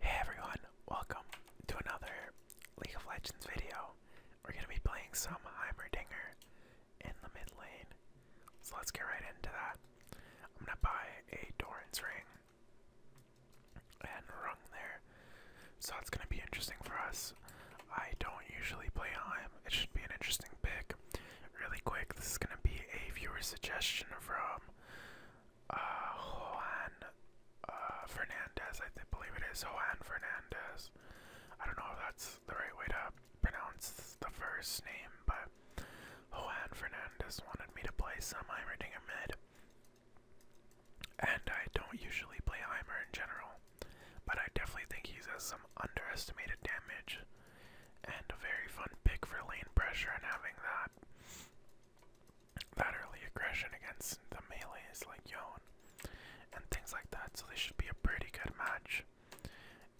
Hey everyone, welcome to another League of Legends video. We're going to be playing some Heimerdinger in the mid lane. So let's get right into that. I'm going to buy a Doran's Ring and Rung there. So it's going to be interesting for us. I don't usually play Heim. It should be an interesting pick. Really quick, this is going to be a viewer suggestion from uh, Fernandez, I believe it is Juan Fernandez. I don't know if that's the right way to pronounce the first name, but Juan Fernandez wanted me to play some Heimerdinger mid. And I don't usually play Heimer in general, but I definitely think he has some underestimated damage and a very fun pick for lane pressure and having that that early aggression against the melees like Yon and things like that. So this should be a pretty good match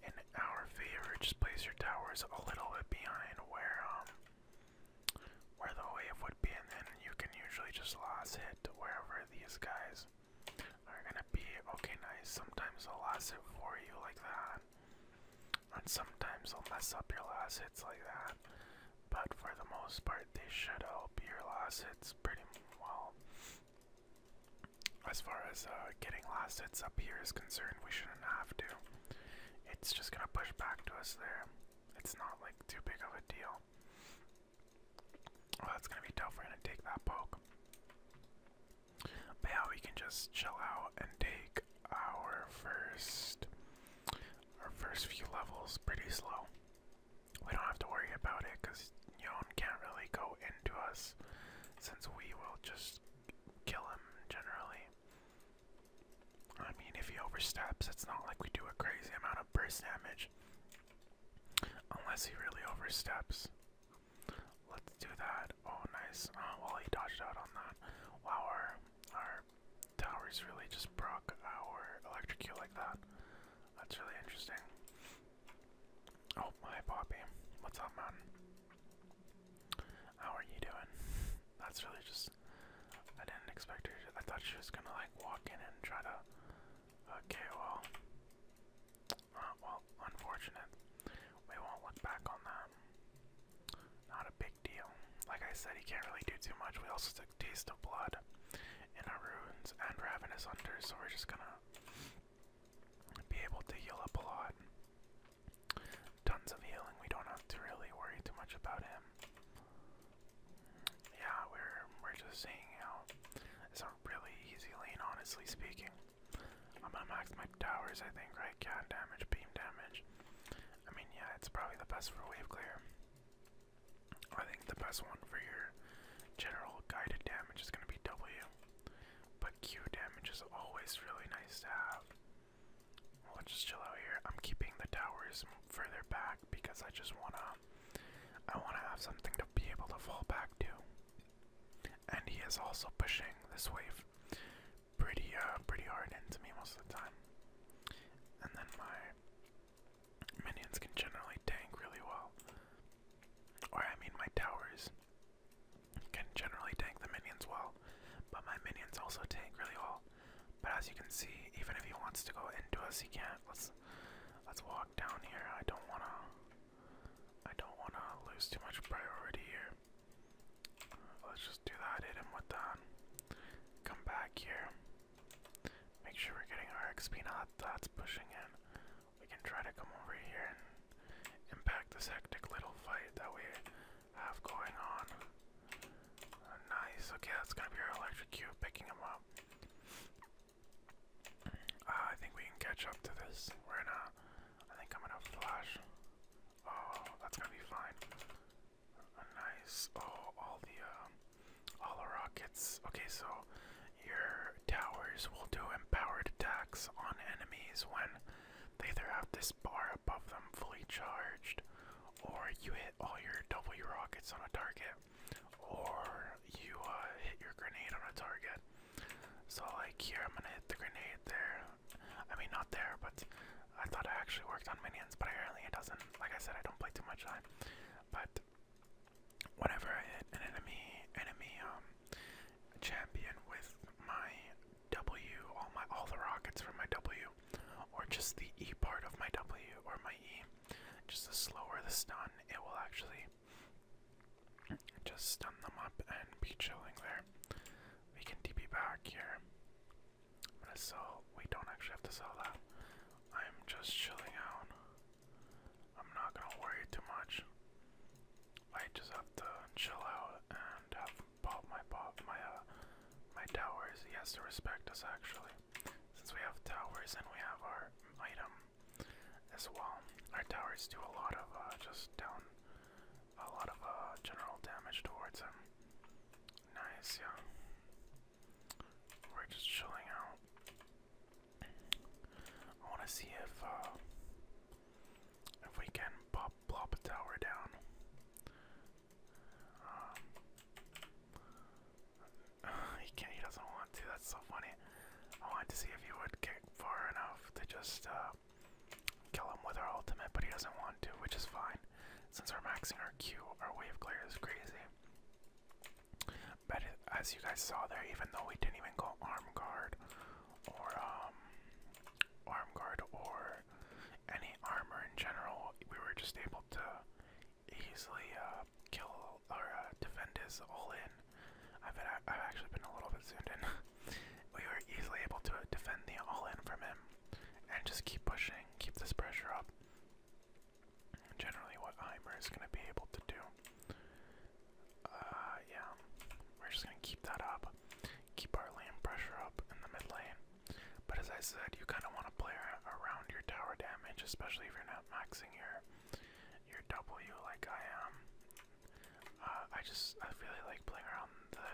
in our favor. Just place your towers a little bit behind where um where the wave would be, and then you can usually just last hit wherever these guys are gonna be. Okay, nice. Sometimes i will last hit for you like that, and sometimes i will mess up your last hits like that. But for the most part, they should help your last hits pretty well. As far as uh, getting last hits up here is concerned, we shouldn't have to. It's just gonna push back to us there. It's not like too big of a deal. Well, that's gonna be tough. We're to take that poke. But we can just chill out and take our first our first few levels pretty slow. We don't have to worry about it because Yon can't really go into us since we will just kill him generally. I mean, if he oversteps, it's not like we do a crazy amount of burst damage. Unless he really oversteps. Let's do that. Oh, nice. Oh, well, he dodged out on that. Wow, our, our towers really just proc our electrocute like that. That's really interesting. Oh, hi Bobby. What's up, man? How are you doing? That's really just. I didn't expect her I thought she was gonna, like, walk in and try to. Uh, okay, well. Uh, well, unfortunate. We won't look back on that. Not a big deal. Like I said, he can't really do too much. We also took a Taste of Blood in our ruins and Ravenous Hunters, so we're just gonna be able to heal up a lot. Tons of healing. We don't have to really worry too much about him. Yeah, we're we're just seeing out. It's a really easy lane, honestly speaking. I'm gonna max my towers, I think, right? Cat damage, beam damage. I mean, yeah, it's probably the best for wave clear. I think the best one for your general guided damage is going to be W, but Q damage is always really nice to have. We'll just chill out here. I'm keeping the towers further back because I just wanna, I wanna have something to be able to fall back to. And he is also pushing this wave pretty uh pretty hard into me most of the time. And then my minions can generally tank really well. Or I mean my towers can generally tank the minions well. But my minions also tank really well. But as you can see, even if he wants to go into us he can't. Let's let's walk down here. I don't wanna I don't wanna lose too much priority here. Let's just do that, hit him with that. Um, come back here. Make sure we're getting our XP, not that's pushing in. We can try to come over here and impact this hectic little fight that we have going on. Uh, nice, okay, that's gonna be our electric cube picking him up. Uh, I think we can catch up to this. We're gonna, I think I'm gonna flash. Oh, that's gonna be fine. Nice. Oh, all the um, all the rockets. Okay, so your towers will do empowered attacks on enemies when they either have this bar above them fully charged, or you hit all your double rockets on a target, or you uh, hit your grenade on a target. So like here, I'm gonna hit the grenade there. I mean, not there, but I thought I actually worked on minions, but apparently it doesn't. Like I said, I don't play too much time. But whenever I hit an enemy enemy um champion with my W, all my all the rockets from my W, or just the E part of my W or my E, just the slower the stun, it will actually just stun them up and be chilling there. We can DP back here. I'm gonna sell. We don't actually have to sell that. I'm just chilling out. I'm not gonna worry too much. I just have to chill out and have pop my pop my uh my towers. He has to respect us actually, since we have towers and we have our item as well. Our towers do a lot of uh, just down a lot of uh, general damage towards him. Nice, yeah. We're just chilling out. I want to see if uh, if we can pop a tower down. Um, he can't. He doesn't want to. That's so funny. I wanted to see if he would get far enough to just uh, Kill him with our ultimate, but he doesn't want to, which is fine. Since we're maxing our Q, our wave clear is crazy. But as you guys saw there, even though we didn't even go arm guard or um arm guard or any armor in general, we were just able to easily uh, kill or uh, defend his all in. I've been, I've actually been a little bit zoomed in. we were easily able to defend the all in from him and just keep pushing, keep this pressure up. Generally, what Heimer is going to be able to do. Uh, yeah, we're just going to keep that up, keep our lane pressure up in the mid lane. But as I said, you kind of want to play around your tower damage, especially if you're not maxing your your W like I am. Uh, I just I really like playing around the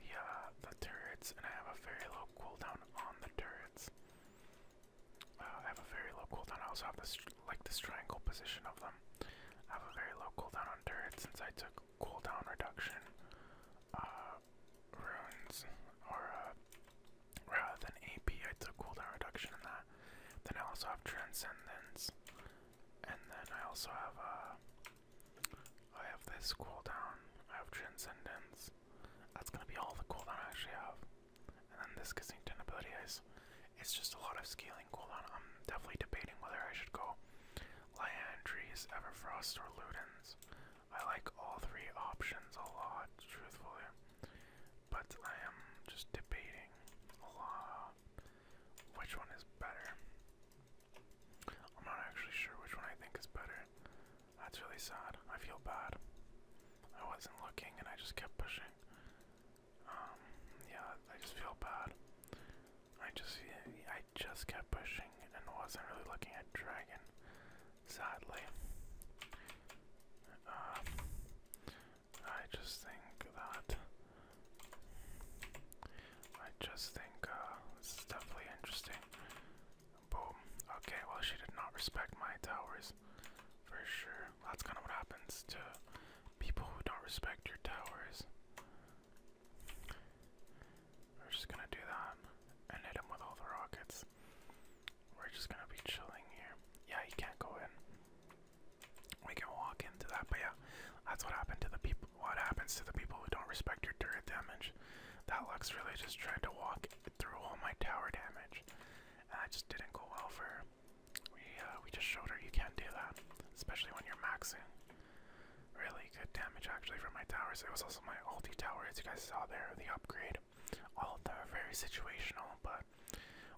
the uh, the turrets, and I have a very low cooldown on the turrets. Uh, I have a very low cooldown. I also have this like this triangle position of them. I have a very low cooldown on turrets since I took cooldown reduction uh, runes, or uh, rather than AP, I took cooldown reduction in that. Then I also have transcendence, and then I also have uh, I have this cooldown. I have Transcendence. That's gonna be all the cooldown I actually have. And then this Kensington ability is it's just a lot of scaling cooldown. I'm definitely debating whether I should go Liandry's, Everfrost, or Ludens. I like all three options a lot, truthfully. But I am just debating a lot which one is better. I'm not actually sure which one I think is better. That's really sad. I feel bad. I wasn't looking and I just kept pushing. Um, yeah, I just feel bad. I just, I just kept pushing and wasn't really looking at dragon. Sadly, uh, I just think that I just think uh, this is definitely interesting. Boom. Okay, well, she did not respect my towers for sure. That's kind of what happens to people who don't respect your towers. We're just gonna do that and hit him with all the rockets. We're just gonna be chilling here. Yeah, he can't go in. We can walk into that, but yeah, that's what happened to the people. What happens to the people who don't respect your turret damage? That Lux really just tried to walk through all my tower damage. And that just didn't go well for her. We, uh, we just showed her you can do that, especially when you're maxing. Really good damage actually from my towers. It was also my ulti towers. you guys saw there, the upgrade. All of them are very situational, but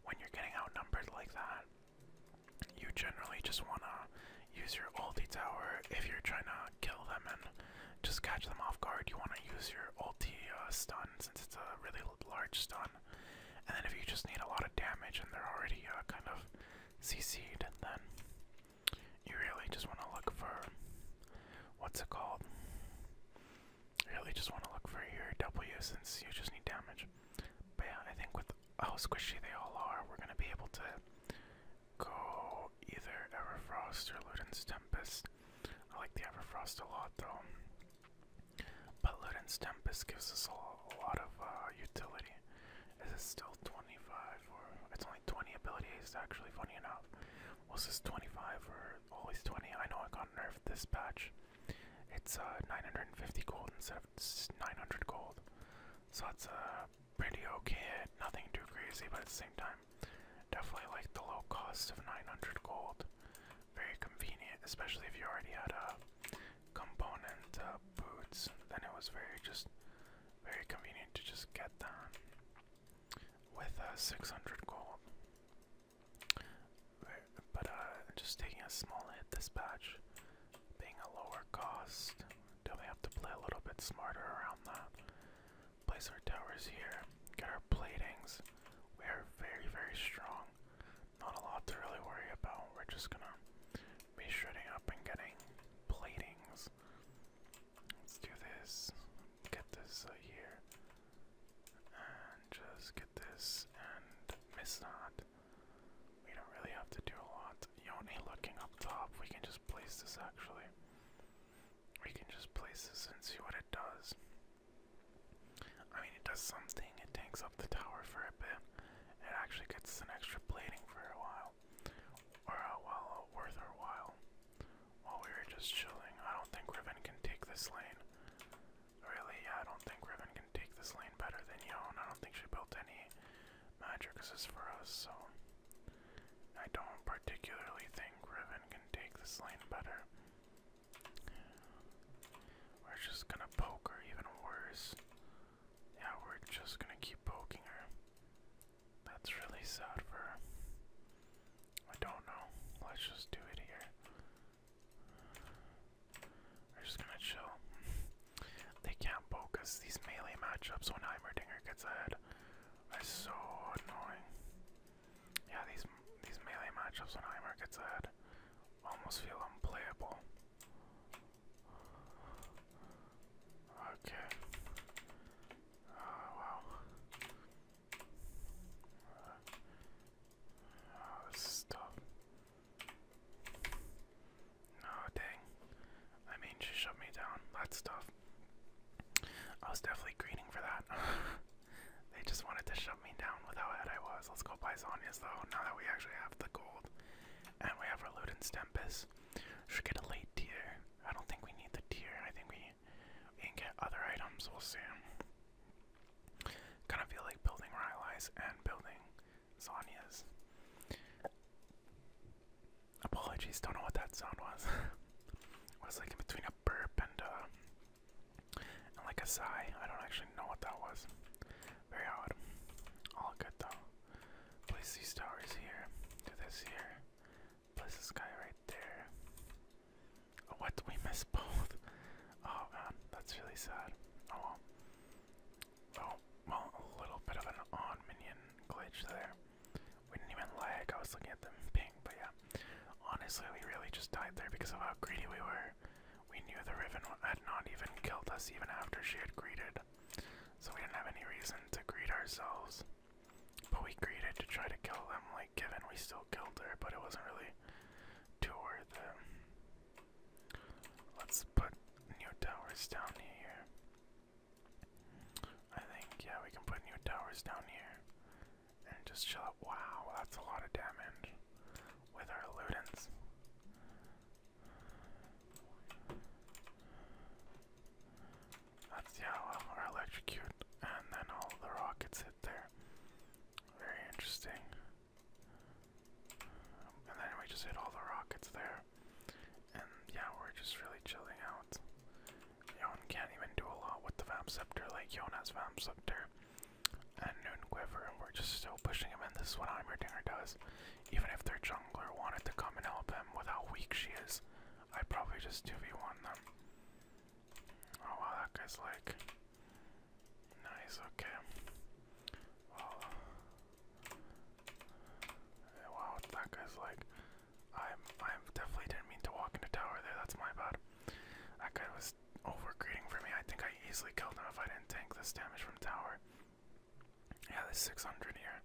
when you're getting outnumbered like that, you generally just want to use your ulti tower if you're trying to kill them and just catch them off guard. You want to use your ulti uh, stun since it's a really large stun. And then if you just need a lot of damage and they're already uh, kind of CC'd, then you really just want to look for what's it called? You really just want to look for your W since you just need damage. But yeah, I think with how squishy they all are, we're going to be able to go either Everfrost or Luden's Tempest. I like the Everfrost a lot though. But Luden's Tempest gives us a, lot of uh, utility. It's still 25 or it's only 20 abilities actually funny enough. Was this 25 or always 20? I know I got nerfed this patch. It's uh, 950 gold instead of 900 gold. So it's a uh, pretty okay, nothing too crazy, but at the same time, definitely like the low cost of 900 gold. Very convenient, especially if you already had a component uh, boots, then it was very just very convenient to just get done with a uh, 600 gold. But uh, just taking a small hit this patch being a lower cost, definitely have to play a little bit smarter around that. Place our towers here, get our platings. We are very, very strong. Not a lot to really worry about. We're just gonna be shredding up and getting platings. Let's do this. Get this uh, here. And just get this and miss that. We don't really have to do a lot. Yoni looking up top. We can just place this actually. We can just place this and see what it does. I mean, it does something. It tanks up the tower for a bit. It actually gets an extra plating for a while. Or a uh, while, uh, worth our while. While we are just chilling. I don't think Riven can take this lane. Really, yeah, I don't think Riven can take this lane better than Yon. I don't think she built any Magicus is for us, so I don't particularly think Riven can take this lane better. We're just gonna poke her even worse. Yeah, we're just gonna keep poking her. That's really sad for her. I don't know. Let's just do it here. We're just gonna chill. They can't focus these melee matchups when Heimerdinger gets ahead. That's so annoying. Yeah, these these melee matchups when Heimer gets ahead almost feel unplayable. Okay. Oh wow. Uh, oh, this is tough. Oh, dang. I mean, she shut me down. That's tough. I was definitely greening for that. they just wanted to shut me down with how ahead I was. Let's go buy Sonya's, though, now that we actually have the gold. And we have our Ludens Tempest. Should get a late tier. I don't think we need the tier. I think we, we can get other items. We'll see. Kind of feel like building Rylai's and building Sonya's. Apologies, don't know what that sound was. it was like in between a burp and uh and like a sigh. I don't actually know what that was. Very odd. All good though. Place these towers here. Do this here. Place this guy right there. Oh, what? We missed both. Oh man, that's really sad. Oh well. Oh, well, a little bit of an on minion glitch there. We didn't even lag, I was looking at them ping, but yeah. Honestly, we really just died there because of how greedy we were. We knew the Riven had not even killed us even after she had greeted. So we didn't have any reason to greet ourselves. But we greeted to try to kill them, like given we still killed her, but it wasn't really too worth it. Let's put new towers down here. I think, yeah, we can put new towers down here. And just chill out. Wow, that's a lot of damage with our Ludens. That's, yeah, well, our electrocute. And then all the rockets hit there. Very interesting. And then we just hit all the rockets there. And yeah, we're just really chilling out. Yon can't even do a lot with the Vamp Scepter, like Yon Vamp Scepter and Noon and we're just still pushing him This is what Heimerdinger does. Even if their jungler wanted to come and help him with how weak she is, i probably just 2v1 them. Oh wow, that guy's like. Nice, okay. Well, Wow, that guy's like, i i definitely didn't mean to walk into tower there. That's my bad. That guy was overgreeting for me. I think I easily killed him if I didn't tank this damage from tower. Yeah, this 600 here.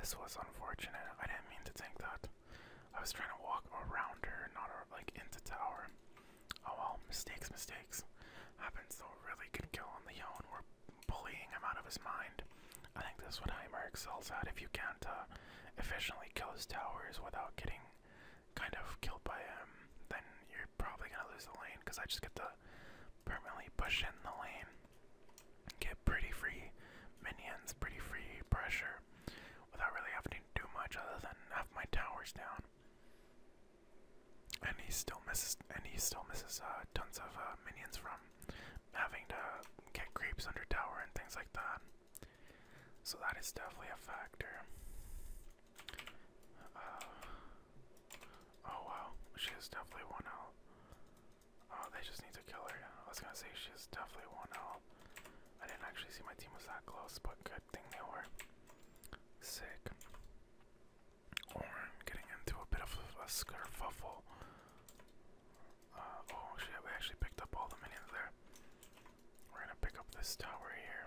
This was unfortunate. I didn't mean to tank that. I was trying to walk around her, not uh, like into tower. Oh well, mistakes, mistakes. Happens though. Really good kill on the Yon bullying him out of his mind. I think that's what Heimer excels at. If you can't uh, efficiently kill his towers without getting kind of killed by him, then you're probably gonna lose the lane because I just get to permanently push in the lane, get pretty free minions, pretty free pressure without really having to do much other than have my towers down and he still misses and he still misses uh, tons of uh, minions from having to get creeps under tower and things like that. So that is definitely a factor. Uh, oh wow, she is definitely one out. Oh, they just need to kill her. I was gonna say she is definitely one out. I didn't actually see my team was that close, but good thing they were. Sick. Or I'm getting into a bit of a scarfuffle. Uh, oh shit, we actually picked up all the minions there. We're gonna pick up this tower here.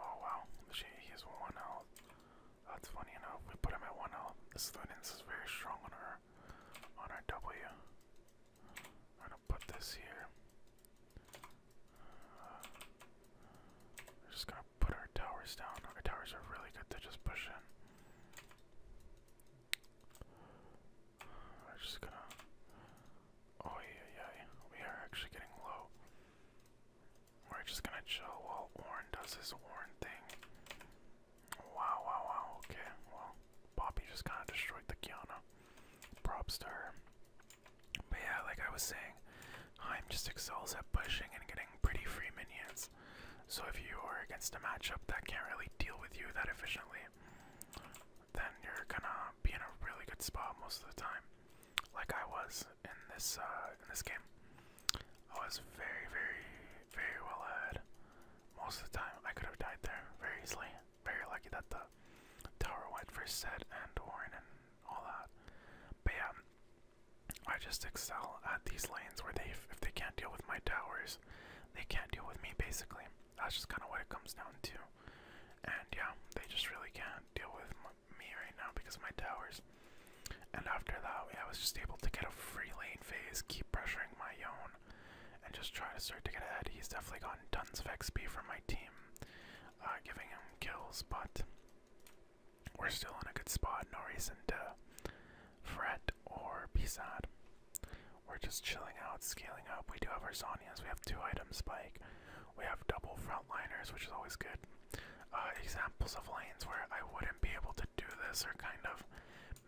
Oh wow, she, he has one health. That's funny enough, we put him at one health. This Lunens is very strong on our, on our W. I'm gonna put this here. Uh, we're just gonna put our towers down. Our towers are really good to just push in. We're just gonna. Oh yeah, yeah. We are actually getting low. We're just gonna chill while Warren does his Warren thing. Wow, wow, wow. Okay, well, Poppy just kind of destroyed the Kiana. Props to her. But yeah, like I was saying, Heim just excels at pushing and getting pretty free minions. So if you are against a matchup that can't really deal with you that efficiently, then you're gonna be in a really good spot most of the time. Like I was in this uh, in this game. I was very, very, very well ahead. Most of the time I could have died there very easily. Very lucky that the tower went for set and Warren and all that. But yeah, I just excel at these lanes where they, if they can't deal with my towers, they can't deal with me basically. That's just kind of what it comes down to. And yeah, they just really can't deal with me right now because of my towers. And after that, I was just able to get a free lane phase, keep pressuring my own, and just try to start to get ahead. He's definitely gotten tons of XP from my team, uh, giving him kills, but we're still in a good spot. No reason to fret or be sad. We're just chilling out, scaling up. We do have our Zonias. We have two item spike. We have double frontliners, which is always good. Uh, examples of lanes where I wouldn't be able to do this are kind of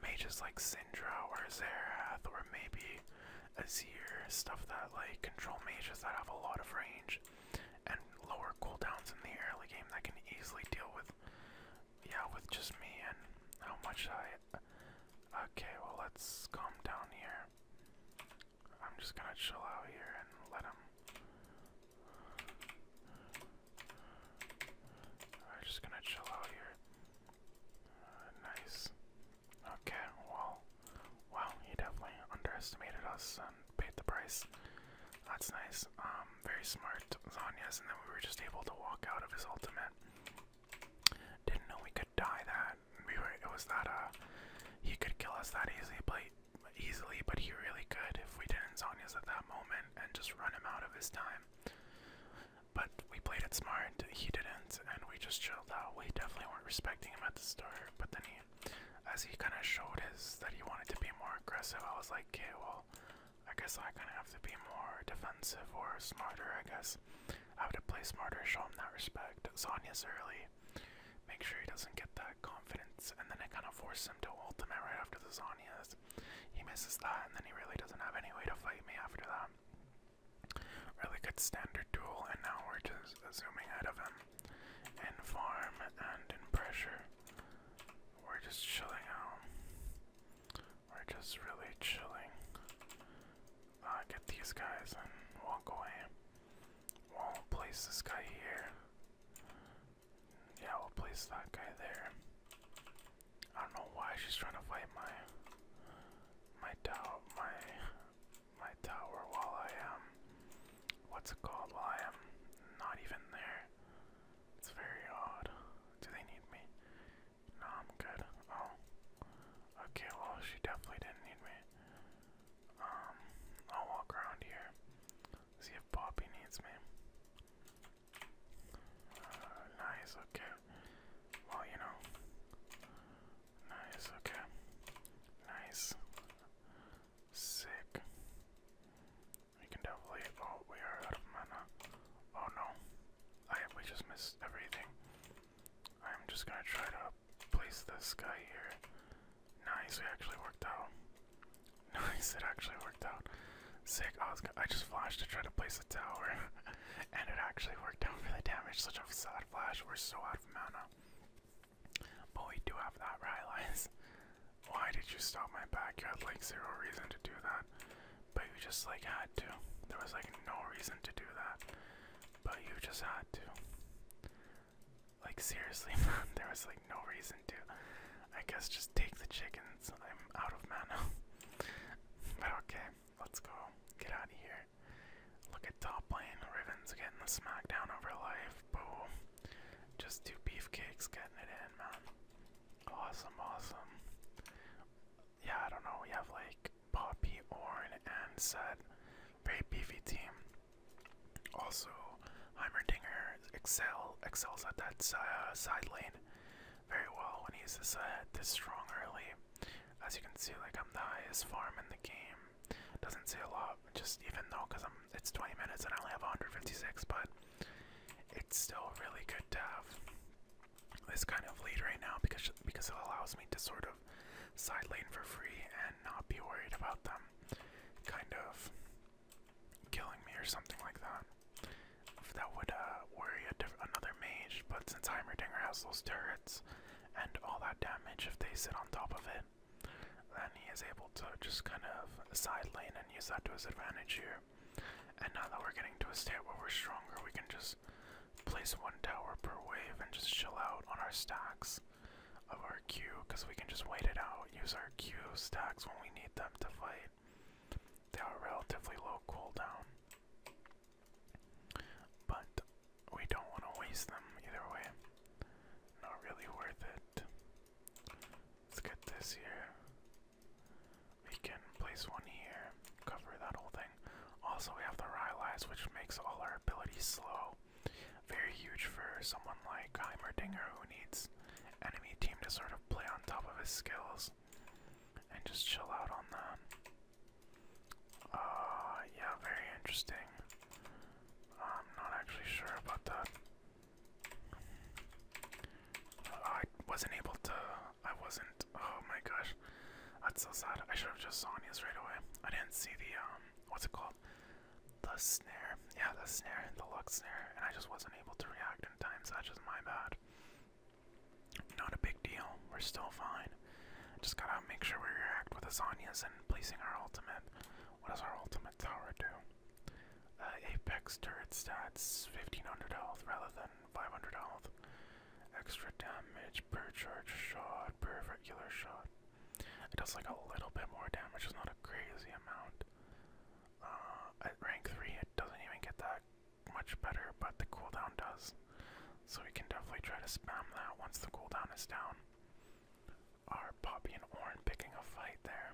mages like Syndra or Zerath or maybe Azir, stuff that like control mages that have a lot of range and lower cooldowns in the early game that can easily deal with, yeah, with just me and how much I. Okay, well let's calm down here. I'm just gonna chill out here and let him. I'm just gonna chill out here. Uh, nice. Okay, well, well, he definitely underestimated us and paid the price. That's nice. Um, very smart Zanyas, and then we were just able to walk out of his ultimate. Didn't know we could die that. We were. It was that. Uh, he could kill us that easily, but easily, but he really could if we didn't Zanyas at that moment and just run him out of his time. But we played it smart. He didn't, and we just chilled out. We definitely weren't respecting him at the start, but then he as he kind of showed his that he wanted to be more aggressive, I was like, okay, well, I guess I kind of have to be more defensive or smarter. I guess I have to play smarter, show him that respect. Sonya's early, make sure he doesn't get that confidence, and then it kind of forces him to ult ultimate right after the Sonya's. He misses that, and then he really doesn't have any way to fight me after that. Really good standard duel, and now we're just zooming ahead of him in farm and in pressure. We're just chilling out. We're just really chilling. I uh, get these guys and walk away. We'll place this guy here. Yeah, we'll place that guy there. I don't know why she's trying to fight my my doubt, my my tower while I am. What's it called? While I am not even there. It's very odd. Do they need me? No, I'm good. Oh. Okay, well, she definitely didn't need me. Um, I'll walk around here. See if Poppy needs me. Uh, nice, okay. Well, you know. Nice, okay. Nice. Sick. We can definitely. Oh, we are out of mana. Oh no. I we just missed everything. I'm just gonna try to place this guy here. Nice, we actually worked out. Nice, it actually worked out. Sick. I, I just flashed to try to place the tower, and it actually worked out for the damage. Such a sad flash. We're so out of mana. But we do have that Rylai's. Why did you stop my backyard? Like zero reason to do that. But you just like had to. There was like no reason to do that. But you just had to. Like seriously, man, there was like no reason to. I guess just take the chickens. I'm out of mana. but okay, let's go. Get out of here. Look at top lane. Riven's getting the smackdown over life. Boom. Just two beefcakes getting it in, man. Awesome, awesome. Yeah, I don't know. We have like Poppy, Orn, and Set. Very beefy team. Also, Heimerdinger excel excels at that uh, side lane very well when he's this, uh, this strong early. As you can see, like I'm the highest farm in the game doesn't say a lot, just even though because I'm it's 20 minutes and I only have 156, but it's still really good to have this kind of lead right now because because it allows me to sort of side lane for free and not be worried about them kind of killing me or something like that. If that would uh, worry another mage, but since Heimerdinger has those turrets and all that damage, if they sit on top of it, then he is able to just kind of side lane and use that to his advantage here. And now that we're getting to a state where we're stronger, we can just place one tower per wave and just chill out on our stacks of our Q, because we can just wait it out, use our Q stacks when we need them to fight. They are relatively low cooldown. But we don't want to waste them either way. Not really worth it. Let's get this here. We can place one here, cover that whole thing. Also, we have the Rylai's, which makes all our abilities slow. Very huge for someone like Heimerdinger who needs enemy team to sort of play on top of his skills and just chill out on that. Uh, yeah, very interesting. I'm not actually sure about that. Uh, I wasn't able to. I wasn't. Oh my gosh, that's so sad. I should have just Sonya's right away. I didn't see the um. What's it called? The snare. Yeah, the snare, the luck snare, and I just wasn't able to react in time. that's just my bad. Not a big deal. We're still fine. Just gotta make sure we react with the Sonya's and placing our ultimate. What does our ultimate tower do? Uh, Apex turret stats 1500 health rather than 500 health. Extra damage per charge shot, per regular shot. It does like a little bit more damage, it's not a crazy amount. Uh, at rank 3, it doesn't even get that much better, but the cooldown does. So we can definitely try to spam that once the cooldown is down are Poppy and Orin picking a fight there.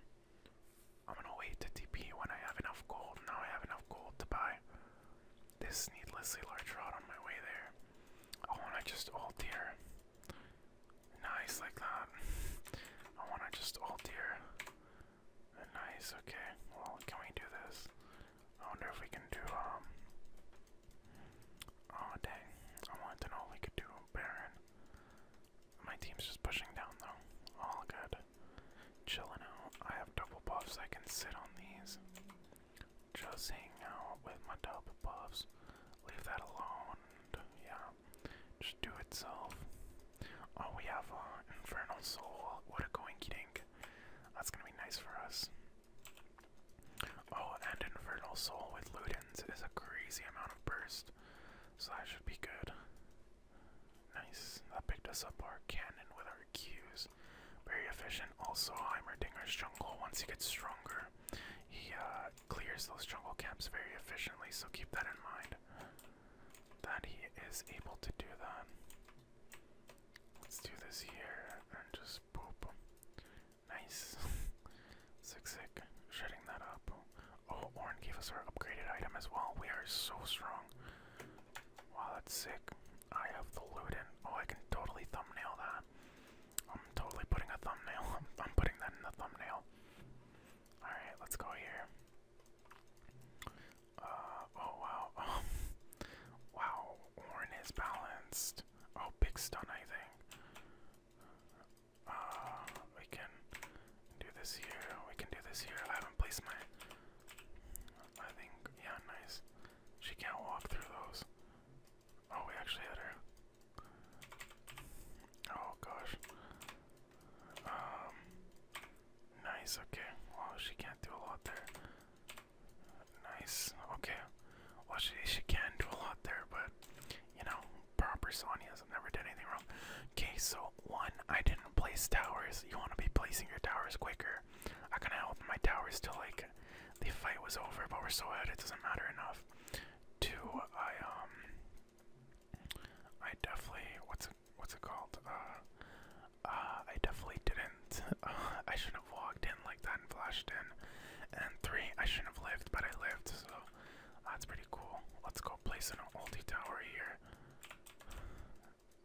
I'm gonna wait to TP when I have enough gold. Now I have enough gold to buy this needlessly large rod on my way there. I wanna just alt here. Nice, like that. I wanna just ult here. Nice, okay. Well, can we do this? I wonder if we can do, um. Oh dang, I wanted to we could do Baron. My team's just pushing down though. All good. Chilling out. I have double buffs, I can sit on these. Just hang out with my double buffs. Leave that alone. yeah, just do itself. Oh, we have uh, Infernal Soul. What a goinky dink. That's gonna be nice for us. Oh, and Infernal Soul with Ludens is a crazy amount of burst, so that should be good. Nice. That picked us up our cannon with our Qs. Very efficient. Also, Heimerdinger's jungle, once he gets stronger, he uh, clears those jungle camps very efficiently, so keep that in mind. That he is able to do that. Let's do this here and just boop. Nice. Sick, sick. Shutting that up. Oh, Orin gave us our upgraded item as well. We are so strong. Wow, that's sick. I have the loot in. Oh, I can totally thumbnail that. I'm totally putting a thumbnail. I'm, I'm putting that in the thumbnail. Alright, let's go here. Uh, oh wow. Oh. wow, Orin is balanced. Oh, big stun, I think. Uh, we can do this here. We can do this here. I haven't placed my. I think yeah, nice. She can't walk through those. Oh, we actually hit her. Oh gosh. Um. Nice. Okay. Well, she can't do a lot there. Nice. Okay. Well, she, she can do a lot there, but, you know, proper Sonya's never did anything wrong. Okay, so, one, I didn't place towers. You want to be placing your towers quicker. I kind of held my towers till, like, the fight was over, but we're so ahead, it doesn't matter enough. Two, I, um, I definitely, what's it, what's it called? Uh, uh, I definitely didn't, I should know walked in like that and flashed in. And three, I shouldn't have lived, but I lived, so that's pretty cool. Let's go place an ulti tower here.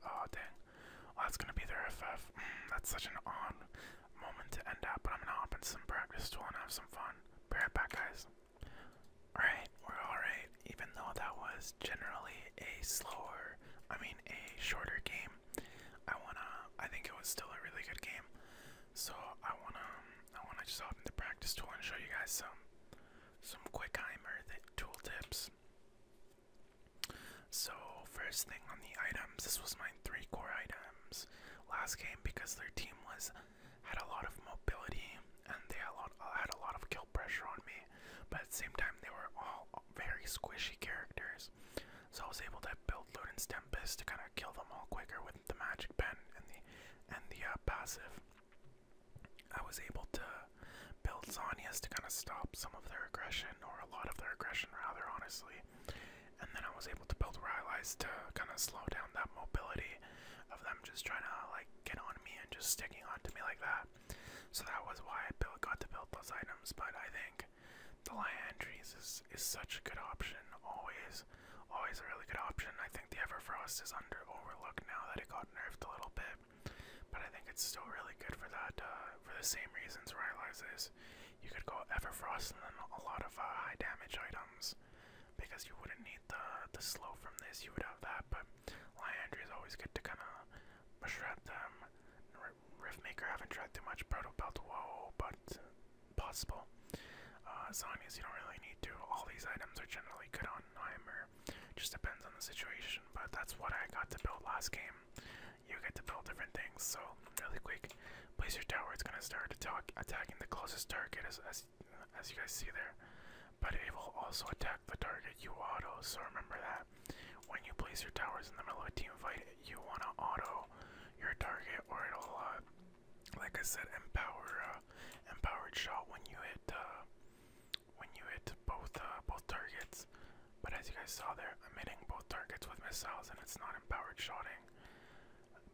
Oh, dang. Well, that's gonna be their FF. Mm, that's such an odd moment to end up, but I'm gonna hop into some practice tool and have some fun. Bear it back, guys. Alright, we're alright. Even though that was generally a slower, I mean, a shorter game, I wanna, I think it was still a really good game. So I wanna um, I wanna just open the practice tool and show you guys some some quick heimer tool tips. So first thing on the items, this was my three core items last game because their team was had a lot of mobility and they had a lot, had a lot of kill pressure on me, but at the same time they were all very squishy characters. So I was able to build Luden's Tempest to kind of kill them all quicker with the magic pen and the and the uh, passive. I was able to build Zonias to kind of stop some of their aggression, or a lot of their aggression, rather, honestly. And then I was able to build Rylai's to kind of slow down that mobility of them just trying to like get on me and just sticking onto me like that. So that was why I built, got to build those items. But I think the Liandries is is such a good option. Always, always a really good option. I think the Everfrost is under overlooked now that it got nerfed a little bit, but I think it's still really good for that uh, for the same reasons Rylai's is. You could go Everfrost and then a lot of uh, high damage items because you wouldn't need the the slow from this. You would have that, but Liandry is always good to kind of mash shred them. Riftmaker, I haven't tried too much Proto Belt, whoa, but possible. Uh, you don't really need to, all these items are generally good on Heimer. Just depends on the situation, but that's what I got to build last game. You get to build different things, so really quick, place your tower. It's gonna start attacking the closest target, as as, as you guys see there. But it will also attack the target you auto. So remember that when you place your towers in the middle of a team fight, you want to auto your target, or it'll, uh, like I said, empower uh, empowered shot when you hit uh, when you hit both uh, both targets. But as you guys saw there, I'm hitting both targets with missiles, and it's not empowered shooting.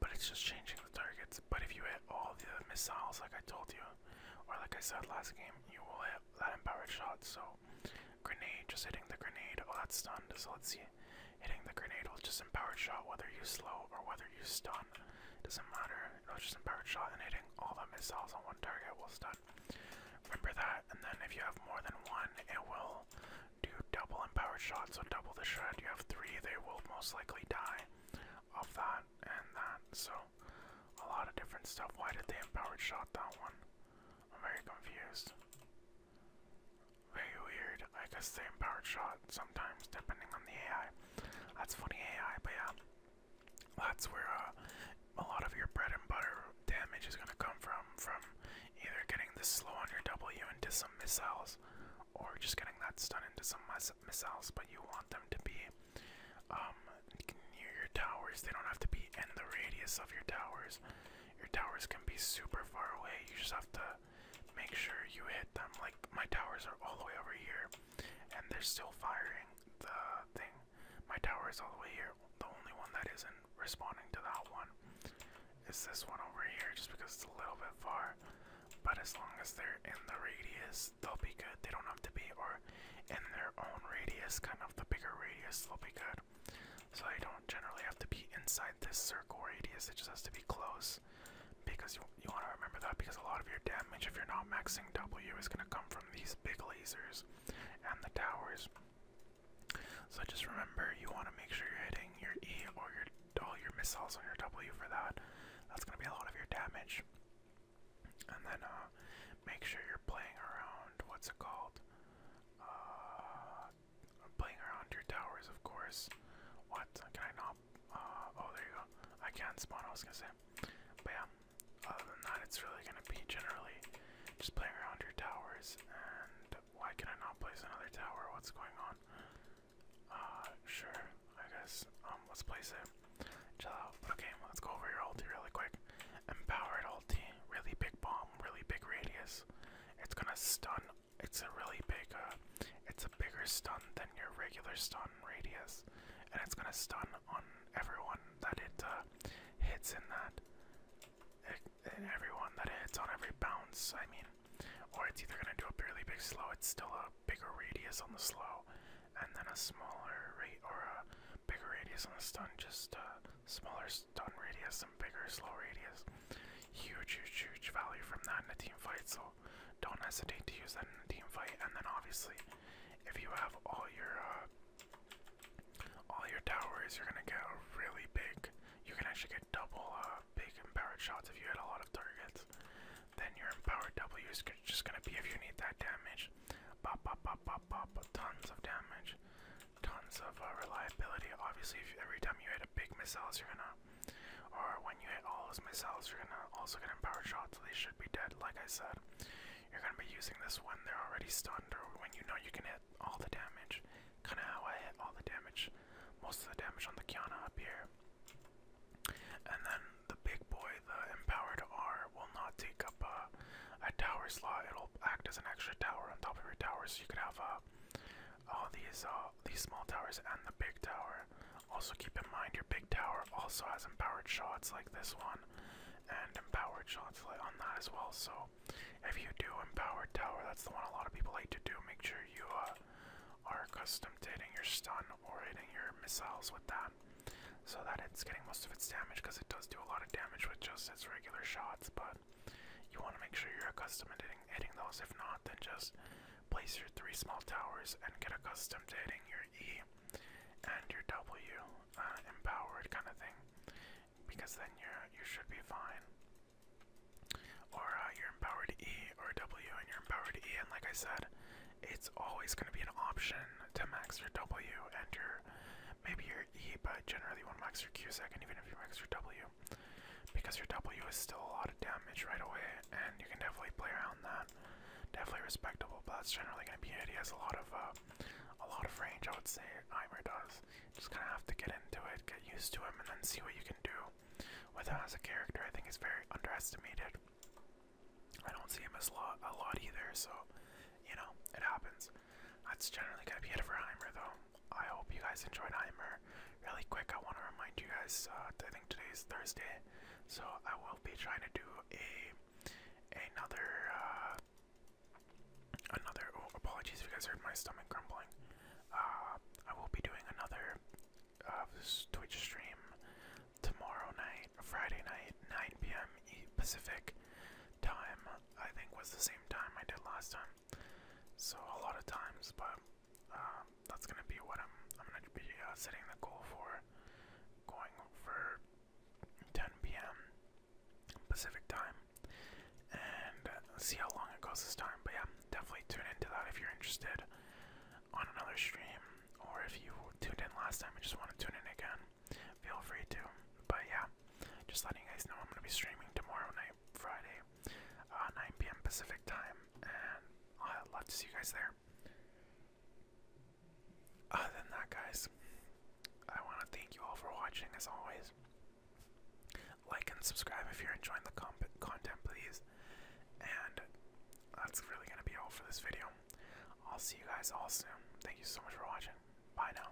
But it's just changing the targets. But if you hit all the missiles, like I told you, or like I said last game, you will hit that empowered shot. So, grenade, just hitting the grenade. Oh, that's stunned. So let's see. Hitting the grenade will just empowered shot whether you slow or whether you stun. Doesn't matter. It'll just empowered shot and hitting all the missiles on one target will stun. Remember that, and then if you have more than one, it will do double empowered shot, so double the shot. You have three, they will most likely die of that and that. So a lot of different stuff. Why did they empower shot that one? I'm very confused. Very weird. I guess same power shot sometimes, depending on the AI. That's funny AI, but yeah. That's where uh, a lot of your bread and butter damage is gonna come from, from either getting the slow on your W into some missiles, or just getting that stun into some missiles. But you want them to be um, near your towers. They don't have to be in the radius of your towers. Your towers can be super far away. You just have to make sure you hit them. Like my towers are all the way over here, and they're still firing the thing. My towers is all the way here. The only one that isn't responding to that one is this one over here, just because it's a little bit far. But as long as they're in the radius, they'll be good. They don't have to be, or in their own radius, kind of the bigger radius, they'll be good. So they don't generally have to be inside this circle or radius, it just has to be close. Because you, you want to remember that because a lot of your damage, if you're not maxing W, is going to come from these big lasers and the towers. So just remember you want to make sure you're hitting your E or your all your missiles on your W for that. That's going to be a lot of your damage. And then uh, make sure you're playing around, what's it called? Uh, I'm playing around your towers, of course. What? Can I not? Uh, oh, there you go. I can spawn, I was gonna say. But yeah, other than that, it's really gonna be generally just playing around your towers. And why can I not place another tower? What's going on? Uh, sure, I guess. Um, let's place it. Chill out. Okay, let's go over your ulti really quick. Empowered ulti. Really big bomb, really big radius. It's gonna stun it's a really big, uh, it's a bigger stun than your regular stun radius, and it's gonna stun on everyone that it uh, hits in that. And eh, everyone that it hits on every bounce, I mean, or it's either gonna do a really big slow. It's still a bigger radius on the slow, and then a smaller rate or a bigger radius on the stun, just uh, Smaller stun radius and bigger slow radius. Huge, huge, huge value from that in a team fight, so don't hesitate to use that in a team fight. And then obviously, if you have all your uh, all your towers, you're gonna get a really big. You can actually get double uh, big empowered shots if you hit a lot of targets. Then your empowered W is just gonna be if you need that damage. Pop, pop, pop, pop, pop, tons of damage tons of uh, reliability. Obviously, if every time you hit a big missiles, you're gonna, or when you hit all those missiles, you're gonna also get empowered shots. So they should be dead. Like I said, you're gonna be using this when they're already stunned, or when you know you can hit all the damage. Kind of how I hit all the damage, most of the damage on the Kiana up here. And then the big boy, the empowered R, will not take up a, tower slot. It'll act as an extra tower on top of your tower, so you can have a all oh, these uh, these small towers and the big tower. Also keep in mind your big tower also has empowered shots like this one, and empowered shots like on that as well. So if you do empowered tower, that's the one a lot of people like to do. Make sure you uh, are accustomed to hitting your stun or hitting your missiles with that, so that it's getting most of its damage because it does do a lot of damage with just its regular shots, but you want to make sure you're accustomed to hitting, those. If not, then just place your three small towers and get accustomed to hitting your E and your W, uh, empowered kind of thing, because then you you should be fine. Or uh, you're empowered E or W, and you're empowered E, and like I said, it's always going to be an option to max your W and your maybe your E, but generally you want to max your Q second, even if you max your W. Because your W is still a lot of damage right away, and you can definitely play around that. Definitely respectable, but that's generally gonna be He has a lot of uh, a lot of range, I would say Heimer does. Just kinda have to get into it, get used to him, and then see what you can do with him as a character. I think is very underestimated. I don't see him as a lot either, so you know, it happens. That's generally going to be it for Heimer, though. I hope you guys enjoyed Heimer. Really quick, I want to remind you guys, uh, I think today is Thursday, so I will be trying to do a another, uh, another, oh, apologies if you guys heard my stomach grumbling. Uh, I will be doing another uh, Twitch stream tomorrow night, Friday night, 9 p.m. Pacific time. I think was the same time I did last time. So a lot of times, but um, that's gonna be what I'm. I'm gonna be uh, setting the goal for going for 10 p.m. Pacific time, and uh, see how long it goes this time. But yeah, definitely tune into that if you're interested on another stream, or if you tuned in last time and just want to tune in again, feel free to. But yeah, just letting you guys know I'm gonna be streaming tomorrow night, Friday, uh, 9 p.m. Pacific time, and I'd love to see you guys there. Other than that, guys, I want to thank you all for watching as always. Like and subscribe if you're enjoying the content, please. And that's really gonna be all for this video. I'll see you guys all soon. Thank you so much for watching. Bye now.